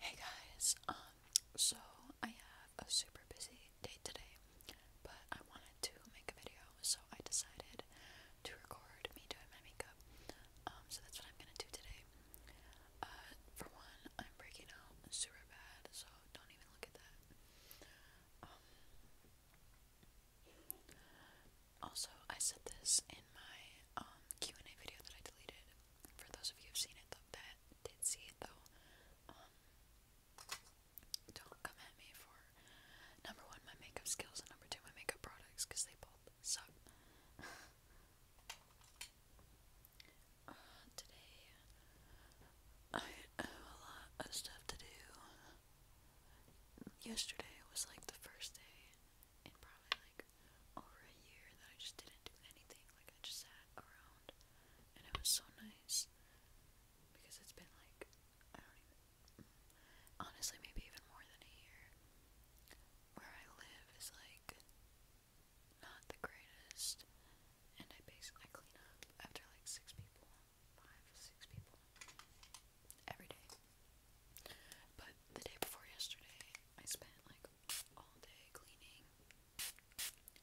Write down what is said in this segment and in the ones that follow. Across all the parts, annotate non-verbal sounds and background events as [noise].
Hey guys, um, so I have a super busy day today, but I wanted to make a video, so I decided to record me doing my makeup. Um, so that's what I'm gonna do today. Uh, for one, I'm breaking out super bad, so don't even look at that. Um, also, I said this in my Q&A video that I deleted, for those of you who've seen it, that did see it though, um, don't come at me for number one my makeup skills and number two my makeup products because they both suck. Uh, today I have a lot of stuff to do. Yesterday was like the first day in probably like over a year that I just didn't do anything. Like I just sat around and it was so nice because it's been like I don't even mm, honestly maybe even more than a year. Where I live is like not the greatest and I basically clean up after like six people, five, six people every day. But the day before yesterday I spent like all day cleaning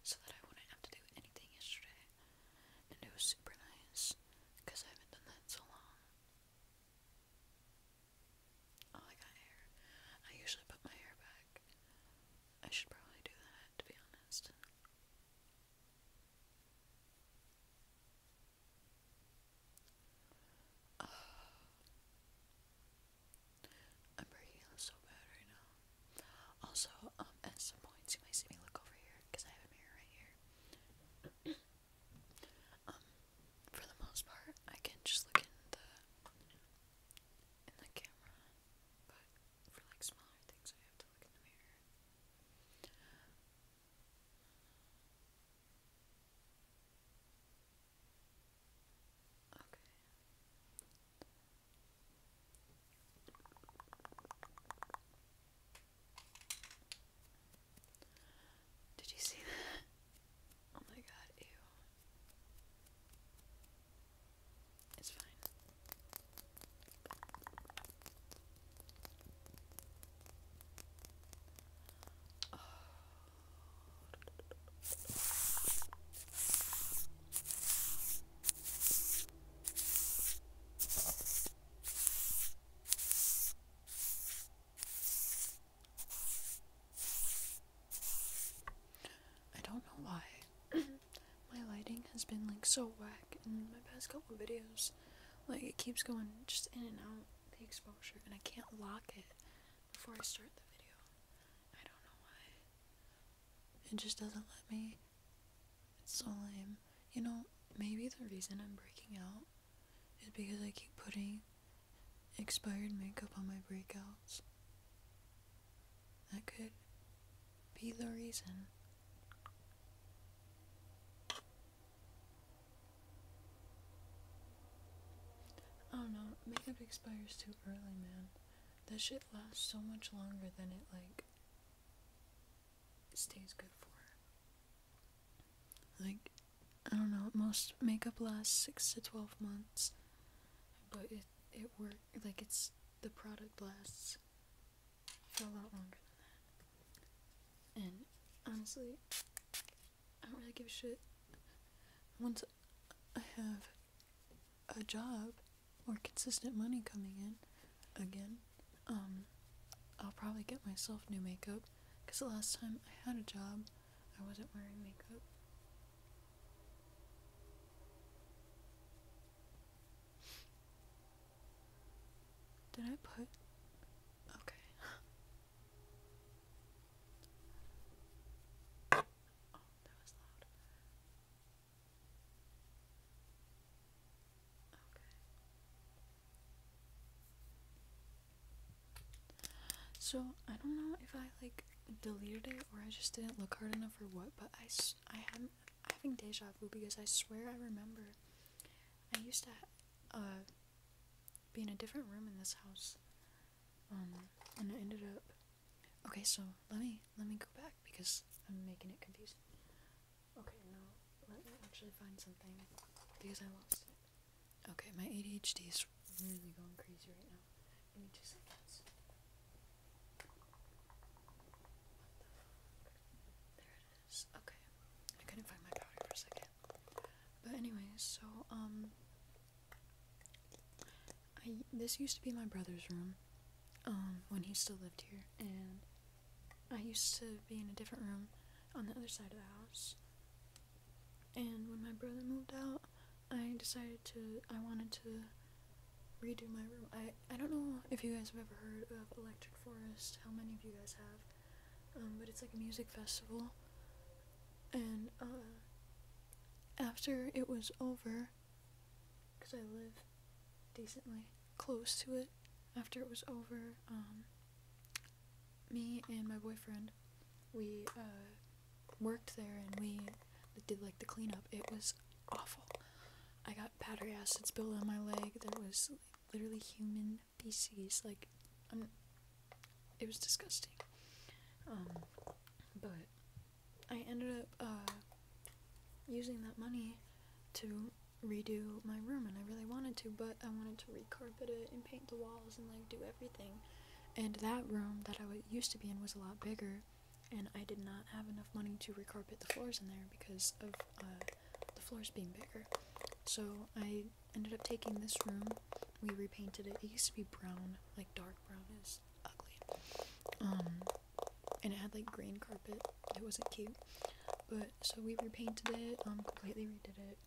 so that I wouldn't have to do anything yesterday. And it was super nice because I haven't done that so long. Oh, I got hair. I usually put my hair back. I should probably do that, to be honest. Oh. I'm breaking out so bad right now. Also, um, at some points you might see me look over here because I have a mirror right here. [clears throat] um, for the most part, I can just look in the in the camera, but for like smaller things, I have to look in the mirror. Did you see that? Oh my god, It's fine. Oh, I don't know why [coughs] my lighting has been like so whack in my past couple videos. Like it keeps going just in and out the exposure and I can't lock it before I start the video. I don't know why. It just doesn't let me. It's so lame. You know, maybe the reason I'm breaking out is because I keep putting expired makeup on my breakouts. That could be the reason. I oh, don't know, makeup expires too early, man. That shit lasts so much longer than it, like, stays good for. Like, I don't know, most makeup lasts 6 to 12 months, but it, it work, like, it's, the product lasts for a lot longer than that. And, honestly, I don't really give a shit once I have a job or consistent money coming in again. Um, I'll probably get myself new makeup because the last time I had a job, I wasn't wearing makeup. Did I put. Okay. [laughs] Oh, so, I don't know if I like deleted it or I just didn't look hard enough or what, but I, I am having deja vu because I swear I remember I used to uh, be in a different room in this house um, and it ended up. Okay, so let me let me go back because I'm making it confusing. Okay, no, let me actually find something because I lost it. Okay, my ADHD is really going crazy right now. Give me two seconds. There it is. Okay, I couldn't find my powder for a second. But anyway, so um I this used to be my brother's room um when he still lived here and I used to be in a different room on the other side of the house. And when my brother moved out, I decided to I wanted to redo my room. I I don't know if you guys have ever heard of Electric Forest, how many of you guys have? Um, but it's like a music festival and uh, after it was over, because I live decently close to it, after it was over, um, me and my boyfriend, we uh, worked there and we did like the cleanup. It was awful. I got battery acids spilled on my leg. There was literally human feces. Like, I'm it was disgusting. Um, but I ended up uh, using that money to redo my room, and I really wanted to, but I wanted to recarpet it and paint the walls and like do everything. And that room that I used to be in was a lot bigger, and I did not have enough money to recarpet the floors in there because of uh, the floors being bigger. So I ended up taking this room. We repainted it. It used to be brown, like dark brown is ugly. Um, and it had like green carpet. It wasn't cute. But so we repainted it, um, completely redid it,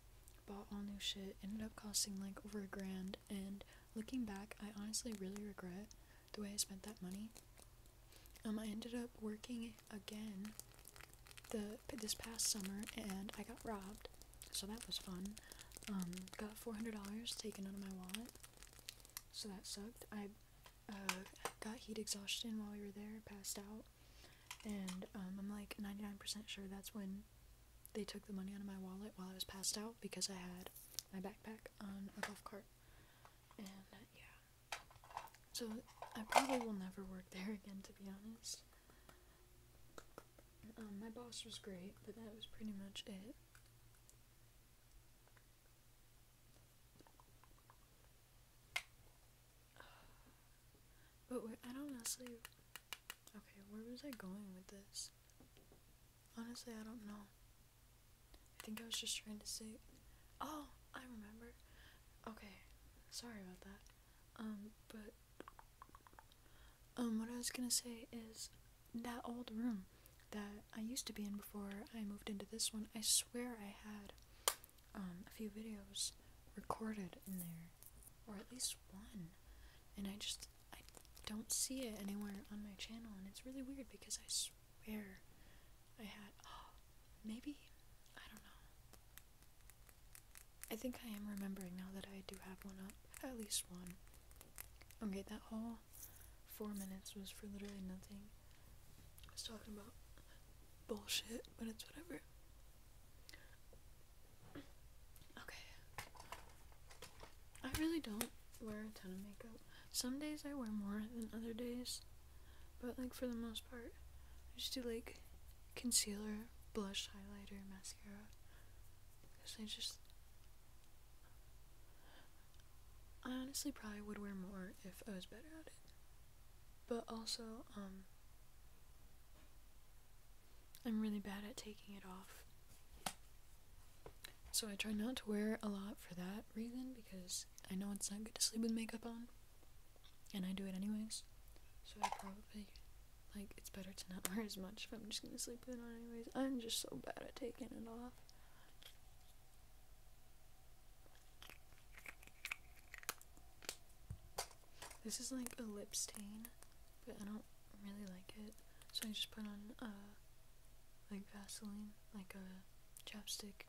bought all new shit, ended up costing like over a grand. And looking back, I honestly really regret the way I spent that money. Um, I ended up working again the this past summer and I got robbed so that was fun. Um, got $400 taken out of my wallet. So that sucked. I uh, got heat exhaustion while we were there, passed out. And um, I'm like 99% sure that's when they took the money out of my wallet while I was passed out because I had my backpack on a golf cart. And yeah. So I probably will never work there [laughs] again, to be honest. Um, my boss was great, but that was pretty much it. But wait, I don't honestly. Okay, where was I going with this? Honestly, I don't know. I think I was just trying to say. Oh, I remember. Okay, sorry about that. Um, but um, what I was gonna say is that old room that I used to be in before I moved into this one, I swear I had um, a few videos recorded in there, or at least one, and I just I don't see it anywhere on my channel, and it's really weird because I swear I had oh, [gasps] maybe I don't know. I think I am remembering now that I do have one up. At least one. Okay, that whole four minutes was for literally nothing. I was talking about bullshit, but it's whatever. Okay. I really don't wear a ton of makeup. Some days I wear more than other days, but like for the most part, I just do like concealer, blush, highlighter, mascara, because I just. I honestly probably would wear more if I was better at it. But also, um, I'm really bad at taking it off. So I try not to wear a lot for that reason because I know it's not good to sleep with makeup on. And I do it anyways. So I probably like it's better to not [laughs] wear as much if I'm just gonna sleep with it on anyways. I'm just so bad at taking it off. This is like a lip stain, but I don't really like it. So I just put on a uh, like Vaseline, like a chapstick,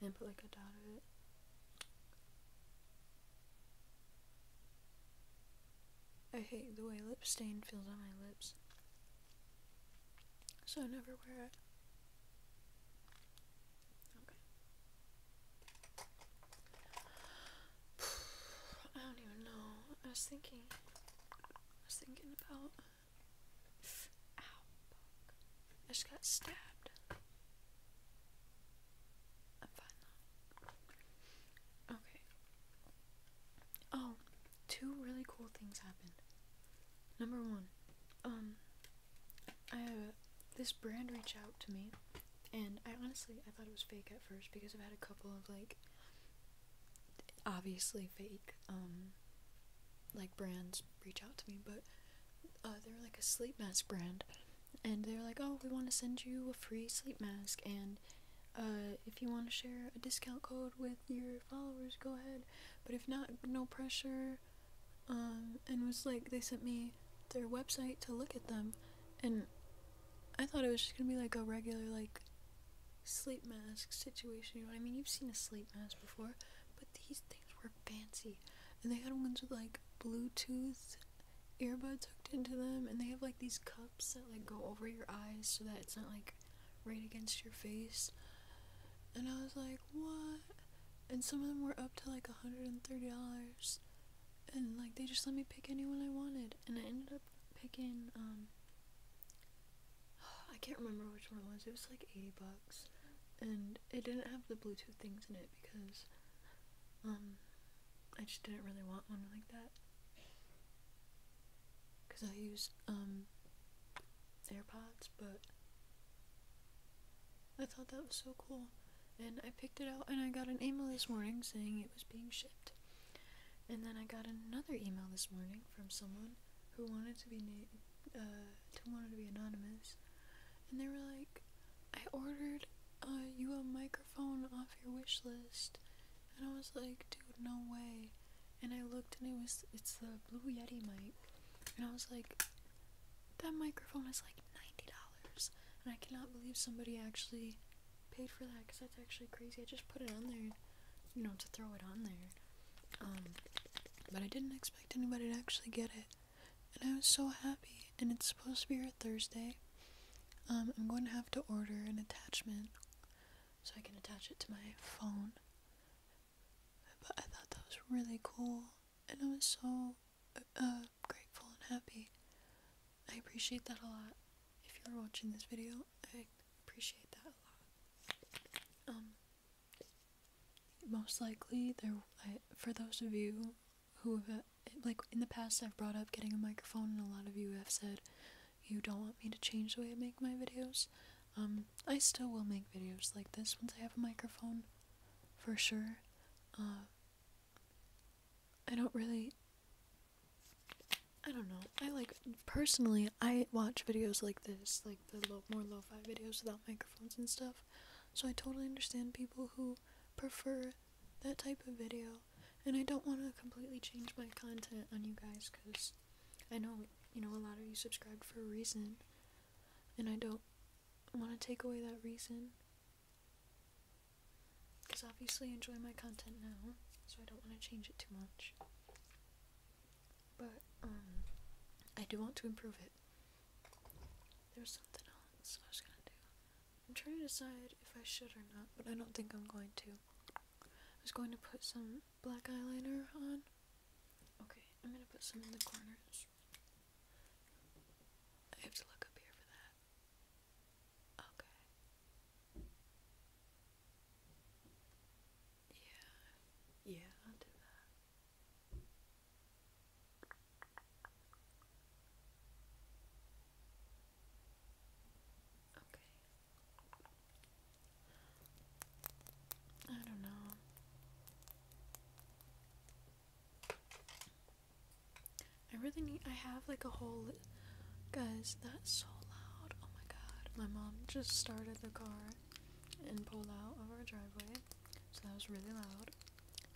and put like a dot of it. I hate the way lip stain feels on my lips. So I never wear it. [sighs] I don't even know. I was thinking. I was thinking about. I just got stabbed i Okay. Oh, two really cool things happened. Number one, um, I have uh, this brand reach out to me, and I honestly I thought it was fake at first because I've had a couple of like obviously fake um like brands reach out to me, but uh, they are like a sleep mask brand, and they are like, oh, we want to send you a free sleep mask, and uh, if you want to share a discount code with your followers, go ahead. But if not, no pressure. Um, and was like, they sent me their website to look at them, and I thought it was just gonna be like a regular like sleep mask situation. You know, I mean, you've seen a sleep mask before, but these things were fancy, and they had ones with like Bluetooth earbuds hooked into them, and they have like these cups that like go over your eyes so that it's not like right against your face. And I was like, what? And some of them were up to like $130. And like they just let me pick anyone I wanted. And I ended up picking, um, [sighs] I can't remember which one it was. It was like 80 bucks. And it didn't have the Bluetooth things in it because, um, I just didn't really want one like that. Because I use um, AirPods, but I thought that was so cool. And I picked it out and I got an email this morning saying it was being shipped. And then I got another email this morning from someone who wanted to be to uh, wanted to be anonymous, and they were like, "I ordered uh, you a microphone off your wish list. And I was like, dude, no way. And I looked and it was, it's the Blue Yeti mic. And I was like, that microphone is like $90. And I cannot believe somebody actually paid for that because that's actually crazy. I just put it on there, you know, to throw it on there. Um, but I didn't expect anybody to actually get it. And I was so happy. And it's supposed to be Thursday, um, I'm going to have to order an attachment so I can attach it to my phone. But I thought that was really cool, and I was so uh, grateful and happy. I appreciate that a lot. If you're watching this video, I appreciate that a lot. Um, most likely, there for those of you who have, like, in the past I've brought up getting a microphone, and a lot of you have said you don't want me to change the way I make my videos. Um, I still will make videos like this once I have a microphone, for sure. Uh, I don't really. I don't know. I like personally. I watch videos like this, like the more lo-fi videos without microphones and stuff. So I totally understand people who prefer that type of video. And I don't want to completely change my content on you guys because I know, you know, a lot of you subscribed for a reason. And I don't want to take away that reason. Because obviously I enjoy my content now, so I don't want to change it too much. But, um, I do want to improve it. There's something else I was gonna do. I'm trying to decide if I should or not, but I don't think I'm going to. I was going to put some black eyeliner on. Okay, I'm gonna put some in the corners. I have to look up here for that. Okay. Yeah. Yeah, I'll do that. I don't know. I really need. I have like a whole. Guys, that's so loud. Oh my god. My mom just started the car and pulled out of our driveway. So that was really loud.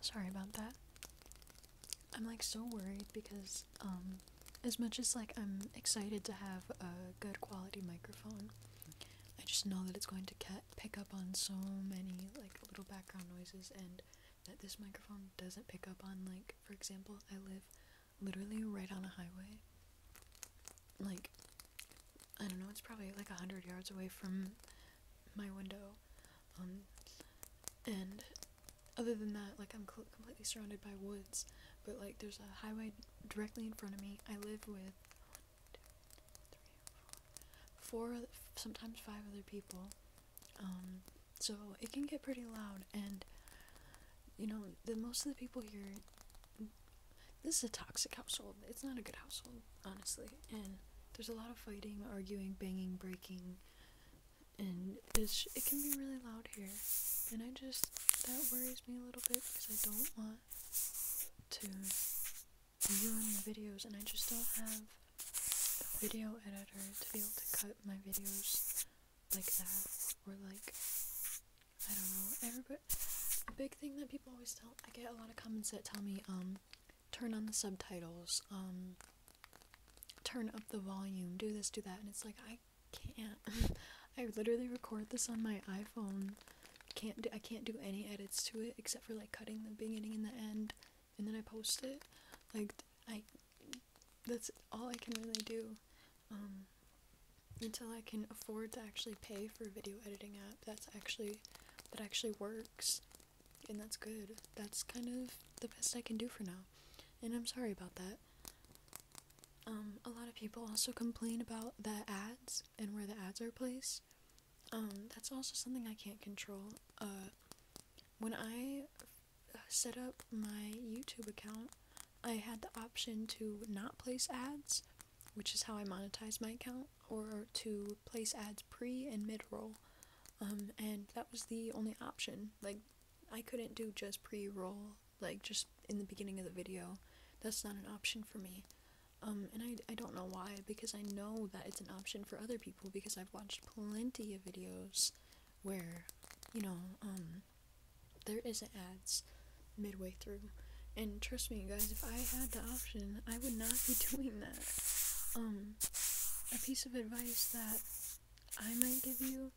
Sorry about that. I'm like so worried because um, as much as like I'm excited to have a good quality microphone, I just know that it's going to ca pick up on so many like little background noises and that this microphone doesn't pick up on like for example, I live literally right on a highway. Like I don't know, it's probably like 100 yards away from my window. Um, and other than that, like I'm completely surrounded by woods, but like there's a highway directly in front of me. I live with four, sometimes five other people. Um, so it can get pretty loud, and you know, the most of the people here. This is a toxic household. It's not a good household, honestly. And there's a lot of fighting, arguing, banging, breaking, and it's it can be really loud here and I just that worries me a little bit because I don't want to ruin my videos and I just don't have a video editor to be able to cut my videos like that or like I don't know everybody a big thing that people always tell I get a lot of comments that tell me um turn on the subtitles um turn up the volume, do this, do that, and it's like I can't. [laughs] I literally record this on my iPhone. Can't do, I can't do any edits to it except for like cutting the beginning and the end, and then I post it. Like I, that's all I can really do. Um, until I can afford to actually pay for a video editing app that's actually that actually works and that's good. That's kind of the best I can do for now, and I'm sorry about that. Um, a lot of people also complain about the ads and where the ads are placed. Um, that's also something I can't control. Uh, when I set up my YouTube account, I had the option to not place ads, which is how I monetize my account, or to place ads pre and mid roll. Um, and that was the only option. Like, I couldn't do just pre-roll, like just in the beginning of the video. That's not an option for me. Um, and I, I don't know why, because I know that it's an option for other people, because I've watched plenty of videos where, you know, um, there isn't ads midway through. And trust me, guys, if I had the option, I would not be [laughs] doing that. Um, a piece of advice that I might give you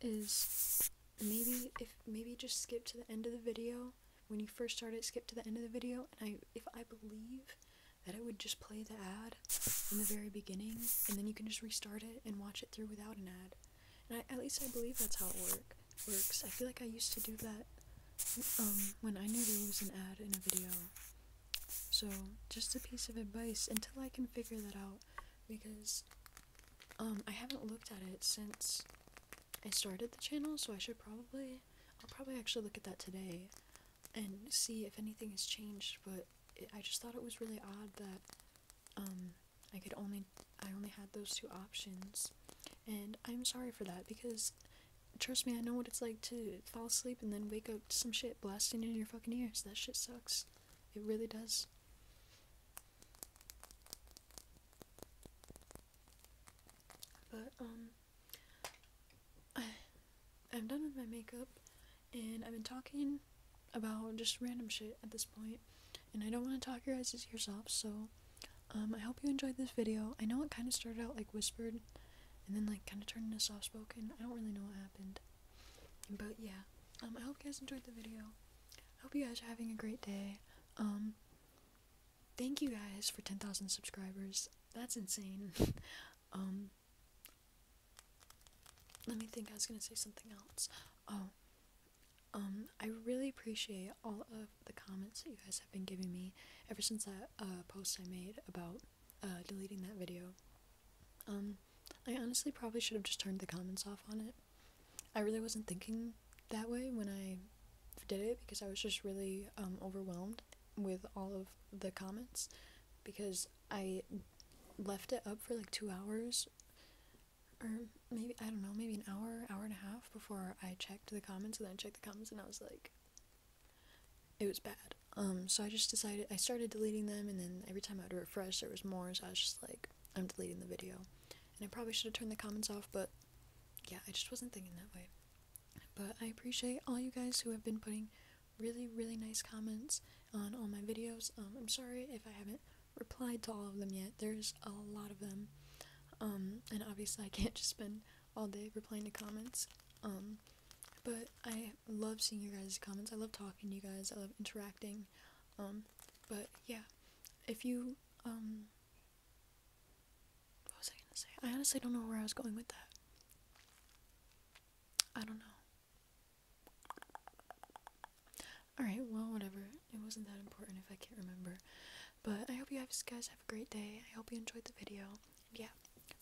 is maybe if maybe just skip to the end of the video when you first start it skip to the end of the video and I if I believe that it would just play the ad in the very beginning and then you can just restart it and watch it through without an ad and I, at least I believe that's how it work works I feel like I used to do that um, when I knew there was an ad in a video so, just a piece of advice until I can figure that out because um, I haven't looked at it since I started the channel, so I should probably I'll probably actually look at that today and see if anything has changed, but I just thought it was really odd that um, I could only I only had those two options. And I'm sorry for that because trust me, I know what it's like to fall asleep and then wake up to some shit blasting in your fucking ears. That shit sucks. It really does. But, um, I, [sighs] I'm done with my makeup, and I've been talking about just random shit at this point, and I don't want to talk your guys' ears off, so, um, I hope you enjoyed this video. I know it kind of started out, like, whispered, and then, like, kind of turned into soft-spoken. I don't really know what happened. But yeah, um, I hope you guys enjoyed the video. I hope you guys are having a great day. Um, thank you guys for 10,000 subscribers. That's insane. [laughs] Um, let me think. I was gonna say something else. Oh, I really appreciate all of the comments that you guys have been giving me ever since that uh, post I made about uh, deleting that video. Um, I honestly probably should have just turned the comments off on it. I really wasn't thinking that way when I did it because I was just really um, overwhelmed with all of the comments because I left it up for like two hours or maybe I don't know, maybe an hour, hour and a half before I checked the comments and then I checked the comments and I was like, it was bad. Um, so I just decided I started deleting them, and then every time I would refresh, there was more. So I was just like, I'm deleting the video, and I probably should have turned the comments off, but yeah, I just wasn't thinking that way. But I appreciate all you guys who have been putting really, really nice comments on all my videos. Um, I'm sorry if I haven't replied to all of them yet. There's a lot of them, um, and obviously I can't [laughs] just spend all day replying to comments. but I love seeing your guys' comments. I love talking to you guys. I love interacting. Um, but yeah, if you um, what was I gonna say? I honestly don't know where I was going with that. I don't know. Alright, well, whatever. It wasn't that important if I can't remember. But I hope you guys have a great day. I hope you enjoyed the video. yeah,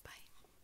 bye.